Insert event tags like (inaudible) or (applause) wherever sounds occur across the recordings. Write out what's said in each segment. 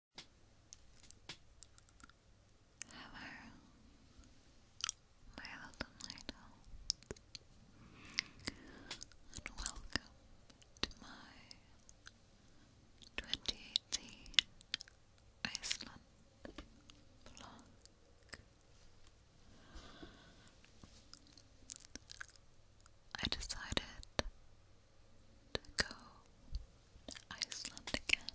Hello, my little night and welcome to my 2018 Iceland vlog. I decided to go Iceland again,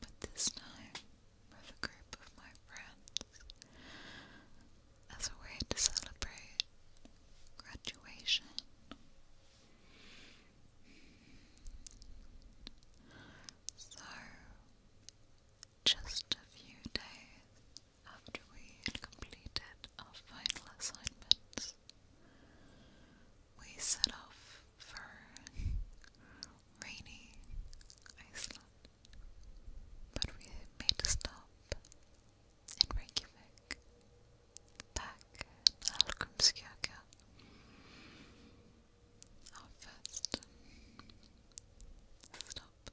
but this time with a group of my friends as a way to celebrate graduation. So, just a few days after we completed our final assignments, we set off for rainy Iceland, but we made a stop in Reykjavik, back in Algrimskirkja, our first stop.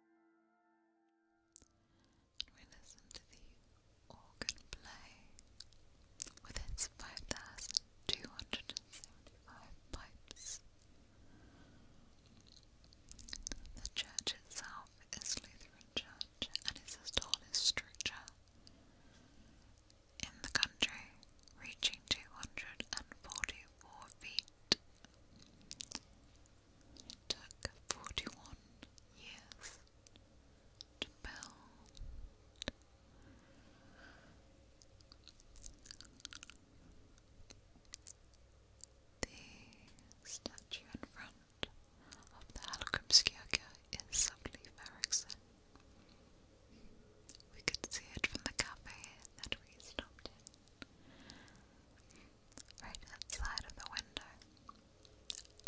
we listen to the organ play with its 5,275 pipes. The church itself is Lutheran Church and is the tallest structure in the country, reaching 244 feet it took 41 years to build. The statue in front of the Halkomskirche is subtly Ferrickson. We could see it from the cafe that we stopped in right outside of the window,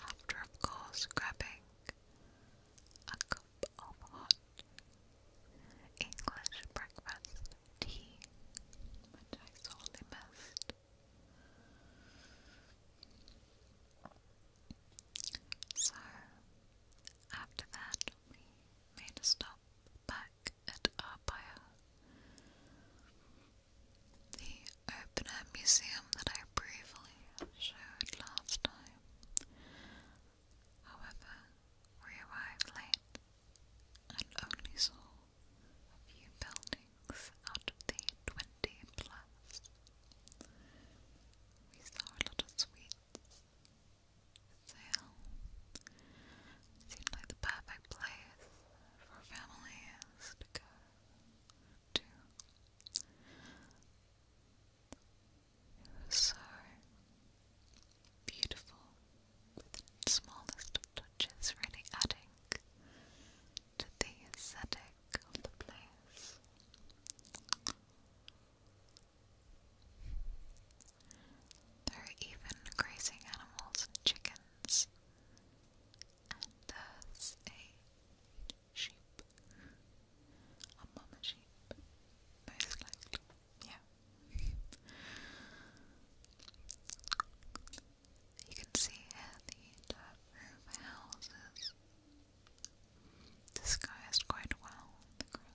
after, of course, grabbing a cup of hot English breakfast tea, which I sorely missed. So, after that, we made a stop back at Arpaio. The open air museum that I briefly showed last time. However, we arrived late and only saw few buildings out of the twenty plus. We saw a lot of Sale seemed like the perfect place for families to go It was so beautiful the smallest touches really adding to the aesthetic of the place. There are even grazing animals chickens, and there's a sheep, a mama sheep, most likely, yeah. You can see here the houses disguised quite well the ground.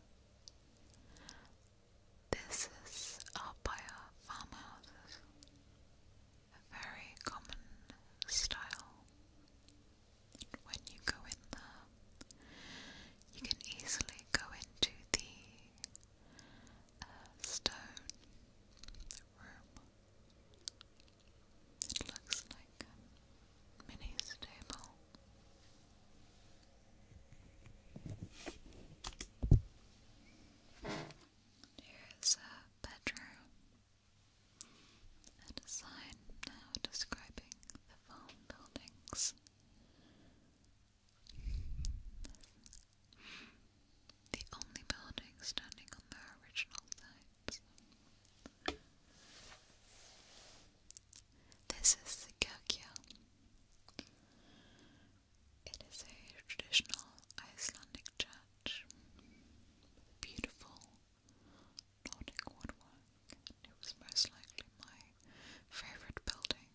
This is up by a very common style. When you go in there, you can easily go into the uh, stone room. It looks like a mini stable. There's a bedroom and a sign now describing the farm buildings. The only building standing on their original sites. This is the kyrkja. It is a traditional Icelandic church beautiful Nordic woodwork, and it was most likely my favorite building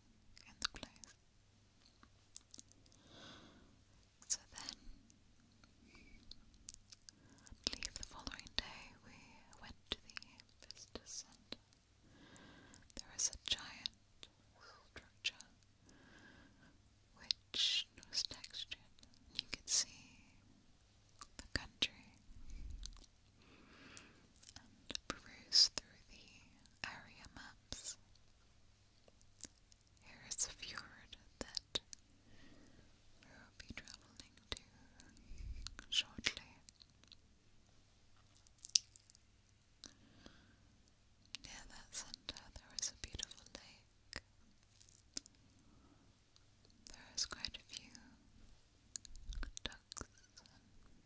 in the place. So then, the following day we went to the visitor center there is a giant structure which was textured. You could see the country and peruse through the area maps. Here is a fjord that we will be travelling to shortly. Near that center there is a beautiful lake. There is quite a few ducks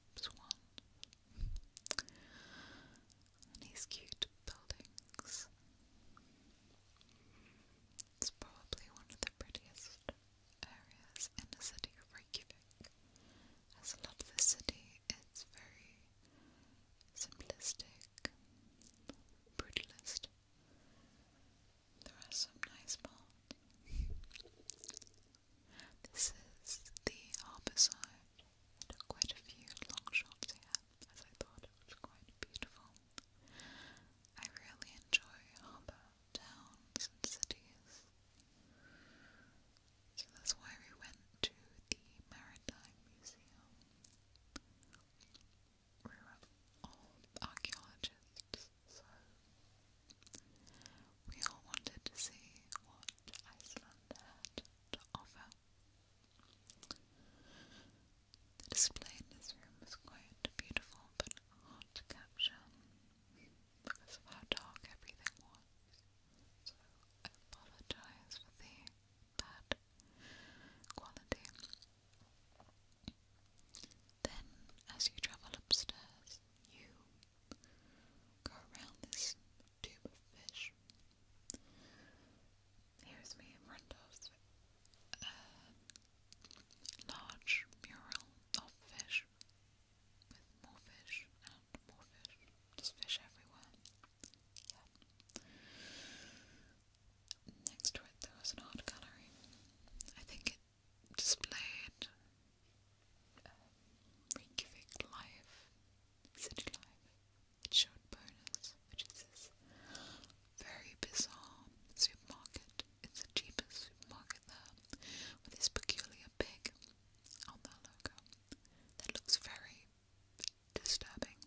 and swans and these cute buildings. It's probably one of the prettiest areas in the city of Reykjavik. As a lot of the city it's very simplistic, brutalist. There are some nice parts. This is the harbour side. quite a few long shops here, as I thought it was quite beautiful. I really enjoy harbour towns and cities. So that's why we went to the Maritime Museum. We were all archaeologists, so we all wanted to see what Iceland had to offer. The display in this room was quite beautiful but hard to capture because of how dark everything was. So apologize for the bad quality. Then, as you travel upstairs, you go around this tube of fish. Here's me in front of large mural of fish with more fish and more fish. There's fish everywhere. Yeah. Next to it there was an art gallery. I think it displayed um, life, city life. It showed bonus, which is very bizarre supermarket. It's the cheapest supermarket there, with this peculiar pig on their logo that looks very disturbing.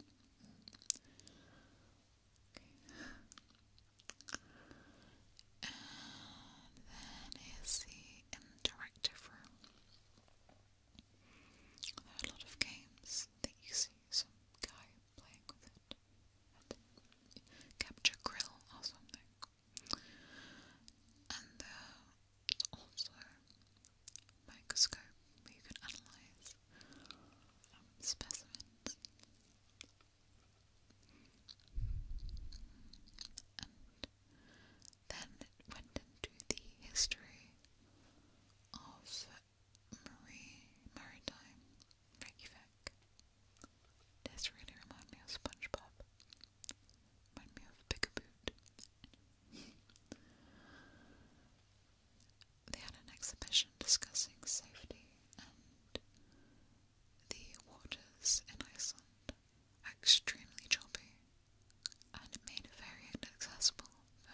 And then here's the interactive room. a lot of games that you see some guy playing with it. Capture grill or something. And uh, there's also microscope where you analyze um, specimens. And then went into the history of Marie Maritime Reykjavik this really reminds me of SpongeBob. Remind me of Pigaboot. they had an exhibition discussing safety and the waters in Iceland extremely choppy and made very inaccessible for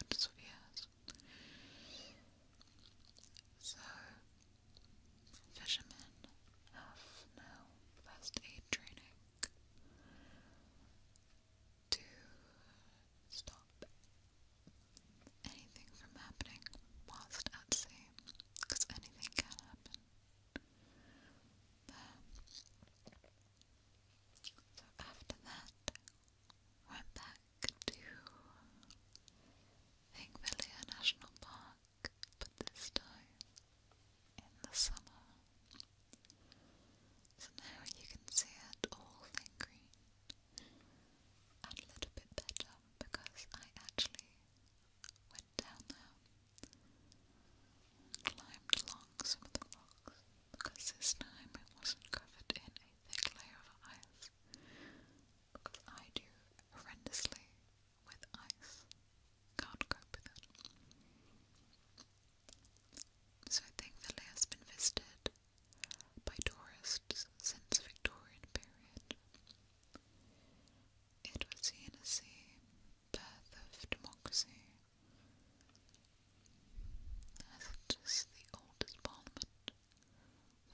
hundreds of years. So, fishermen have no first aid training to stop anything from happening whilst at sea, because anything can happen there. So after that, went back to Higvelia National Park, but this time in the summer. So now you can see it all in green and a little bit better because I actually went down there climbed along some of the rocks because this time it wasn't covered in a thick layer of ice because I do horrendously with ice. Can't cope with it. So I think Ville has been visited by tourists since Victorian period. It was seen as the birth of democracy, as it is the oldest parliament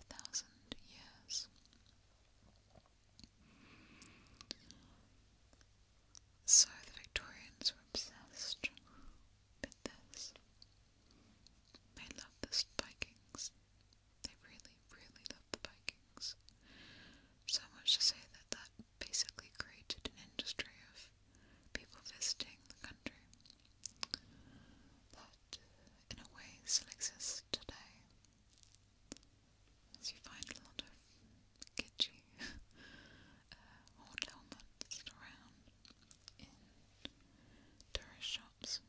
a thousand years. So the Victorians were obsessed with this. They loved the Vikings. They really, really loved the Vikings. So much to say that that basically created an industry of people visiting the country in a way still exists today. As you find a lot of kitschy uh, old around in tourist shops.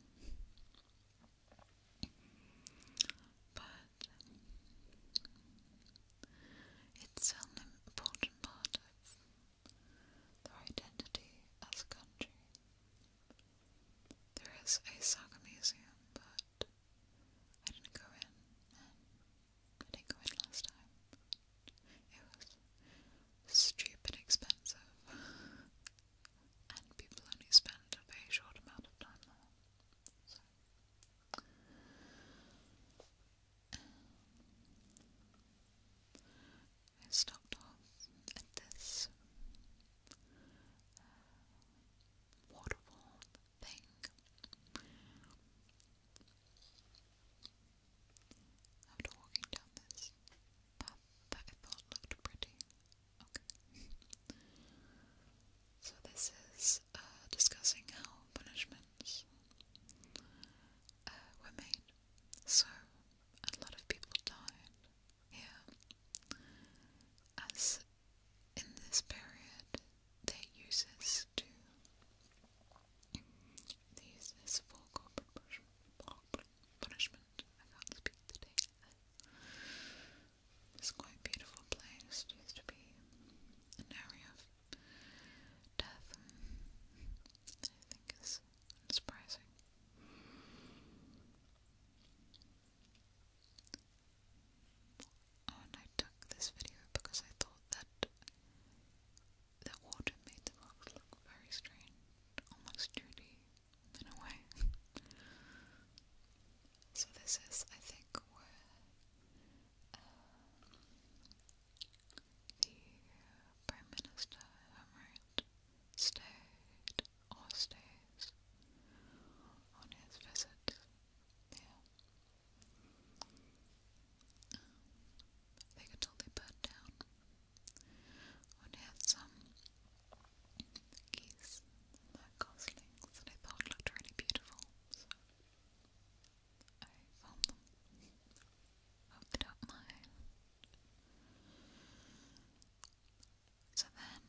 But it's an important part of their identity as a country. There is a saga museum, but I didn't go in, I didn't go in last time. It was stupid expensive, and people only spend a very short amount of time there. I stopped off at this uh, waterfall thing. After walking down this path that looked pretty. so this is uh, discussing how punishments uh, were made. So a lot of people died here, as in this period they use to they use this for corporate punishment. I can't speak today. It's quite beautiful place. used to be an area of death. I think it's surprising. I took this video because I thought that that water made the rocks look very strange, almost 2 in a way. (laughs) so this is, I think, where uh, the Prime Minister, if stayed or stays on his visit there. they could totally down when he some um, geese, their goslings that I thought looked really beautiful. I found them off the top of my So then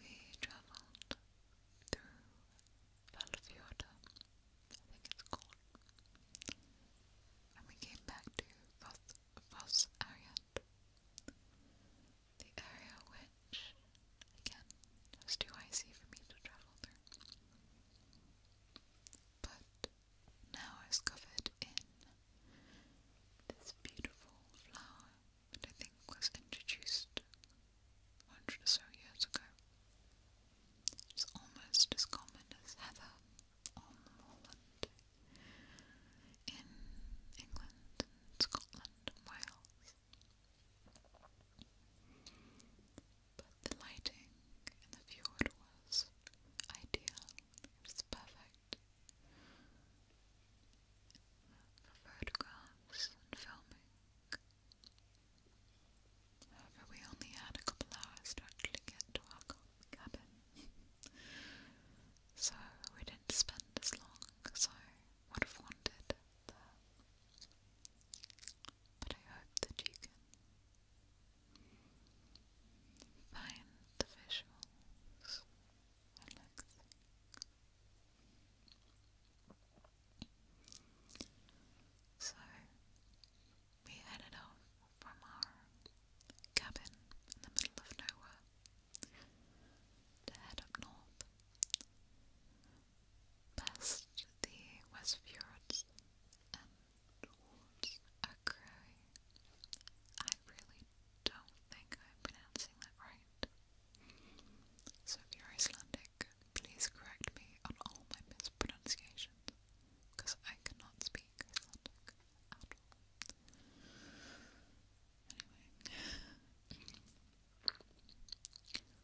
we travelled through Valfjorda, I think it's called, and we came back to Foss Ariat, the area which, again, was too icy for me to travel through. But now is covered in this beautiful flower that I think was introduced 100 or so years ago. It's almost as common as heather or moorland in England Scotland Wales. But the lighting in the fjord was ideal. It was perfect. For photographs and filming. However, we only had a couple hours to actually get to our cabin. (laughs) so we didn't spend as long as I would have wanted But I hope that you can Find the visuals relaxing. So we headed off from our cabin in the middle of nowhere to head up north, past the West and Wolves I really don't think I'm pronouncing that right. So if you're Icelandic, please correct me on all my mispronunciations, because I cannot speak Icelandic Anyway.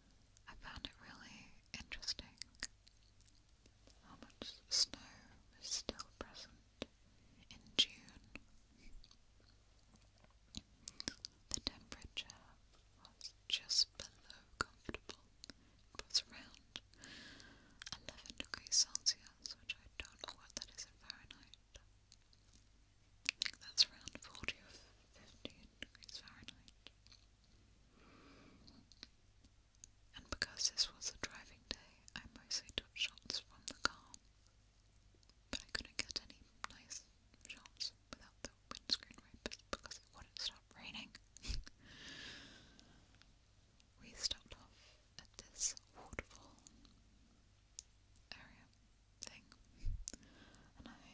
I found it really interesting how much snow is still present in June. The temperature was just below comfortable. was around 11 degrees Celsius, which I don't know what that is in Fahrenheit. I think that's around 40 or 15 degrees Fahrenheit. And because this was a driving day, I mostly took shots from the car, but I couldn't get any nice shots without the windscreen wipers because it wouldn't stop raining. (laughs) we stopped off at this waterfall area thing, and I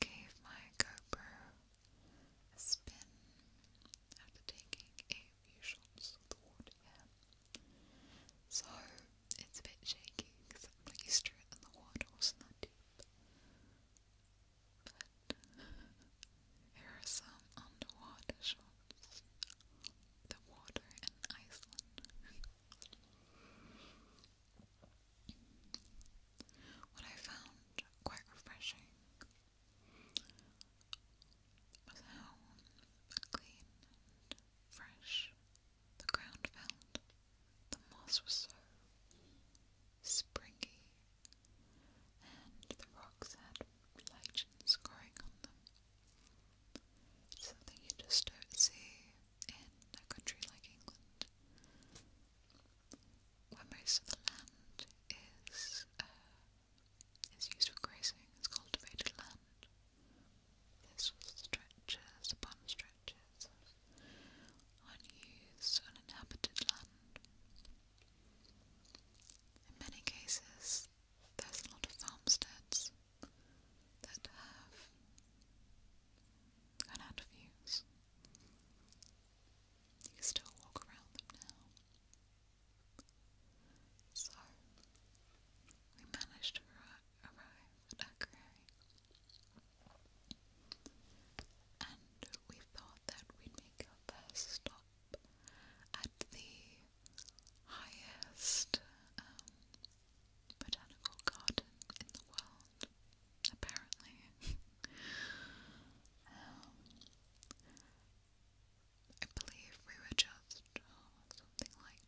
gave my GoPro a spin after taking a few shots of the water So it's a bit shaky because I'm like used to it and the water wasn't that deep. But (laughs) here are some underwater shots. The water in Iceland. What I found quite refreshing was how clean fresh the ground felt. The moss was so springy, and the rocks had legends growing on them. something you just don't see in a country like England where most of the land is uh, is used for grazing. It's cultivated land. This was stretches upon stretches of unused, uninhabited land. In many cases, there's a lot of farmsteads that have gone out of use. You still walk around them now. So, we managed to arrive at Akureyri. And we thought that we'd make our first stop at the highest um, botanical garden in the world apparently. (laughs) Um, I believe we were just uh, something like,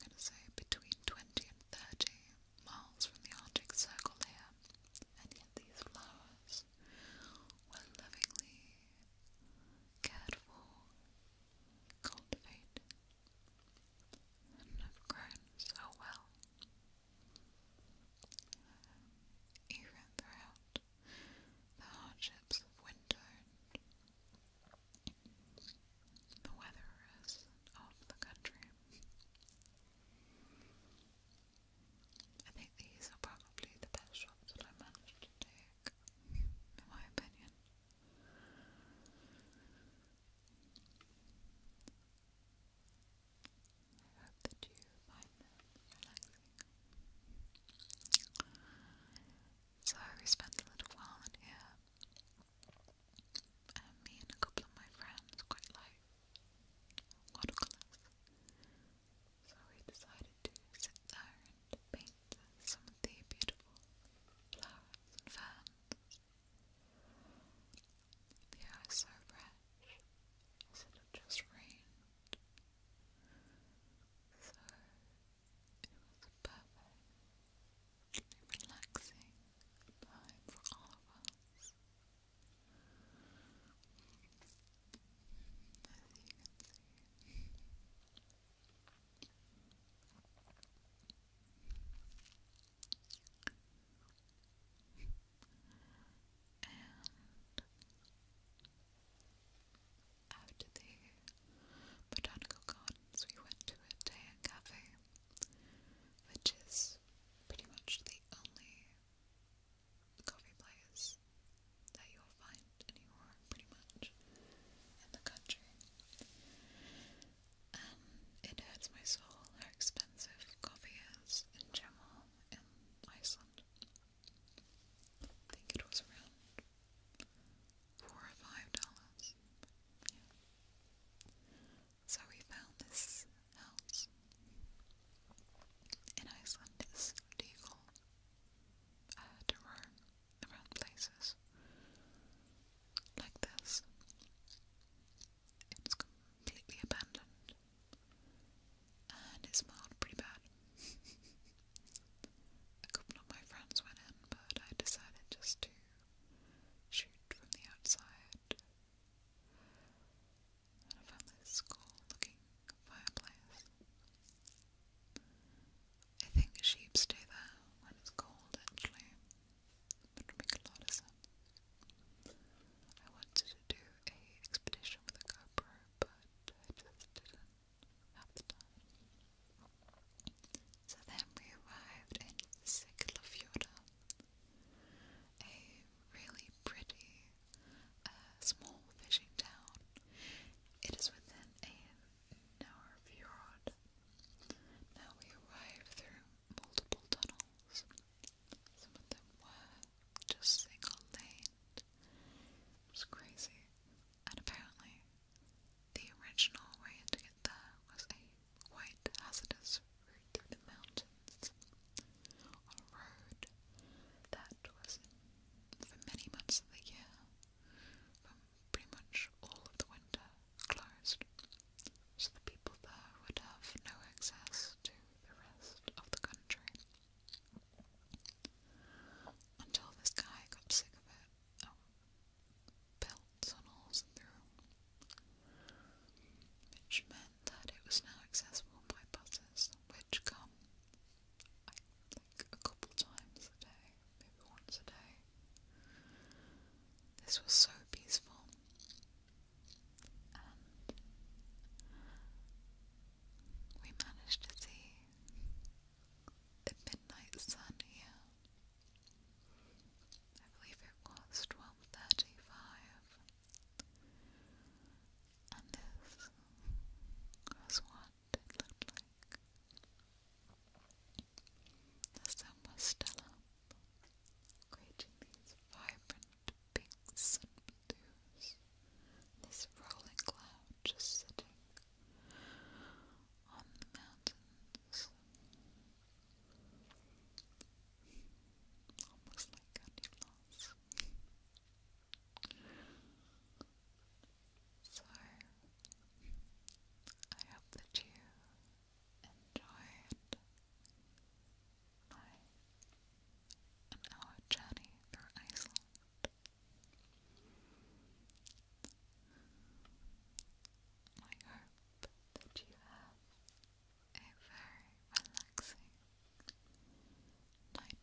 I'm going to say between 20 and 30 miles from the Arctic Circle there, and these flowers were lovingly cared for, cultivated, and have grown so well, even throughout the hardships of winter the weatherers of the country. I think these are probably the best shots that I managed to take, in my opinion. I hope that you find them relaxing. So we spent a little while in here. me and a couple of my friends quite like watercolours. So we decided to sit there and paint some of the beautiful flowers and ferns the air is so fresh, as just rained, so it was a perfect, relaxing time for all of us. As you can see, after the botanical gardens, we went to a Daya cafe, which is pretty much the only coffee place that you'll find anywhere, pretty much, in the country and um, it hurts my soul how expensive coffee is in general in Iceland. I think it was around four or five dollars. Yeah. So we found this house in Iceland is legal uh, to roam around places like this. It's completely abandoned and it smelled pretty bad. A couple of my friends went in, but I decided just to shoot from the outside. And I found this cool looking fireplace. I think sheep stay there when it's cold actually. That would make a lot of sense. I wanted to do a expedition with a GoPro, but I just didn't have the time. So then we arrived in Siglafjorda, a really pretty uh, small fishing town. It is within a narrow fjord now we arrived through multiple tunnels. Some of them were just single laned. It was crazy. And apparently, the original way to get there was a quite hazardous route through the mountains on a road that was, for many months of the year, from pretty much all of the winter closed. So the people there would have no access to the rest of the country. Until this guy got sick of it, um, built tunnels through, which meant that it was now accessible by buses, which come, a couple times a day, maybe once a day. This was so peaceful, and we managed to see the midnight sun here. I believe it was twelve thirty-five, and this was what it looked like. The sun was still creating these vibrant pinks and blues, this rolling cloud just sitting on the mountains. Almost like candy floss. So, I hope that you enjoyed my an hour journey through Iceland. I hope that you have a very relaxing night